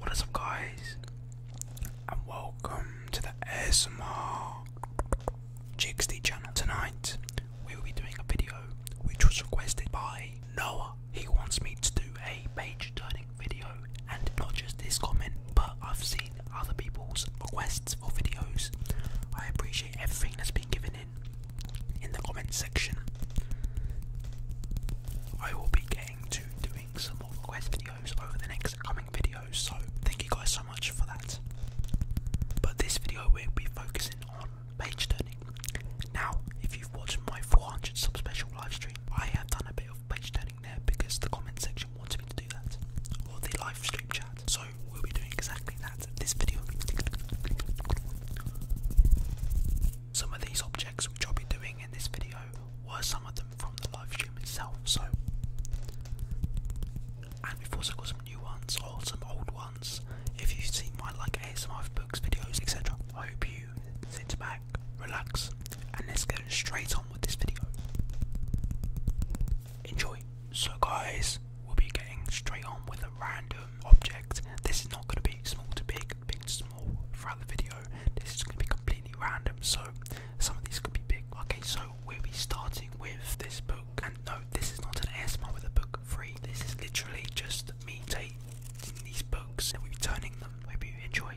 What is up, guys? And welcome to the ASMR GXD channel. Tonight we will be doing a video which was requested by Noah. He wants me to do a page turning video and not just this comment but I've seen other people's requests for videos. I appreciate everything that's been given in in the comment section. I will be getting to doing some more request videos over the next coming videos so thank you guys so much much for that. But this video will be focusing on page turning. Now, if you've watched my 400 sub special live I have done a bit of page turning there because the comment section wanted me to do that, or the live chat. So we'll be doing exactly that in this video. Some of these objects which I'll be doing in this video were some of them from the live itself. So and we've also got some new ones or some old ones. If you've seen my like ASMR books, videos, etc., I hope you sit back, relax, and let's get straight on with this video. Enjoy. So, guys, we'll be getting straight on with a random object. This is not going to be small to big, big to small for the video. This is going to be completely random. So, some of these could be big. Okay, so we'll be starting with this book. And no, this is not an ASMR with a book free. This is literally just me taking these books and returning them. Hope you enjoy.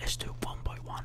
Let's do one by one.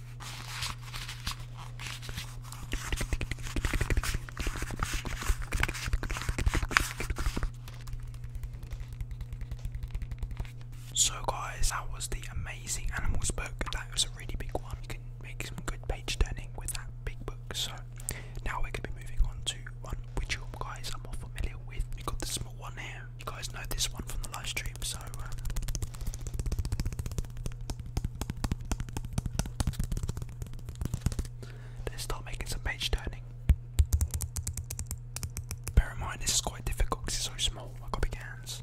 So, guys, that was the amazing animals book. That was a really big one. You can make some good page turning with that big book. So, now we're going to be moving on to one which you guys are more familiar with. you got the small one here you guys know this one from the live stream, so. Uh, let's start making some page turning. Bear in mind, this is quite difficult because it's so small. I've got big hands.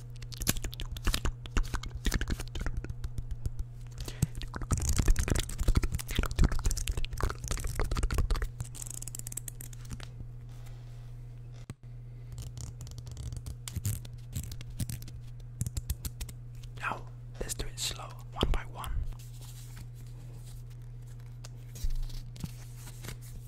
Now, let's do it slow, one by one.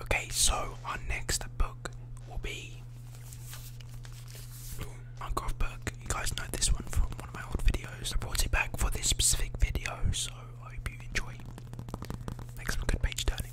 Okay, so our next book will be Minecraft book. You guys know this one from one of my old videos. I brought it back for this specific video, so I hope you enjoy. Makes some good page turning.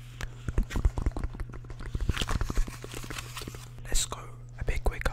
Let's go a bit quicker.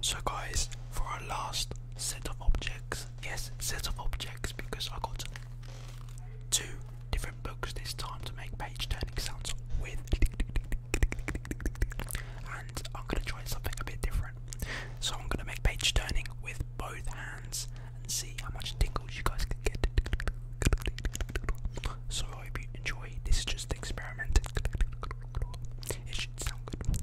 So guys, for our last set of objects, yes, set of objects because I got two different books this time to make page turning sounds with and I'm gonna try something a bit different. So I'm gonna make page turning with both hands and see how much tingles you guys can get. So so enjoy. This is just an experiment. It should sound good.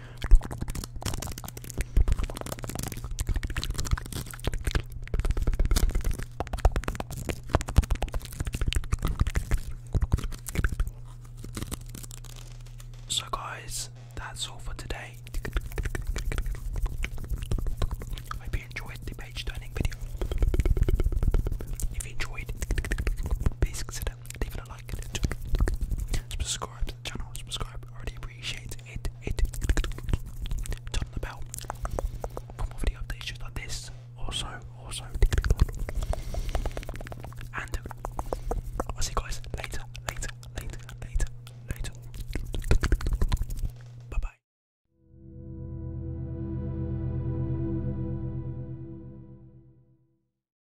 So, guys, that's all for today. I hope you enjoyed the page turning video. If you enjoyed, please consider leave it a like, subscribe to the channel, subscribe, Already appreciate it, it, turn on the bell for more video updates like this, also, also, and I'll see you guys later, later, later, later, later, bye bye.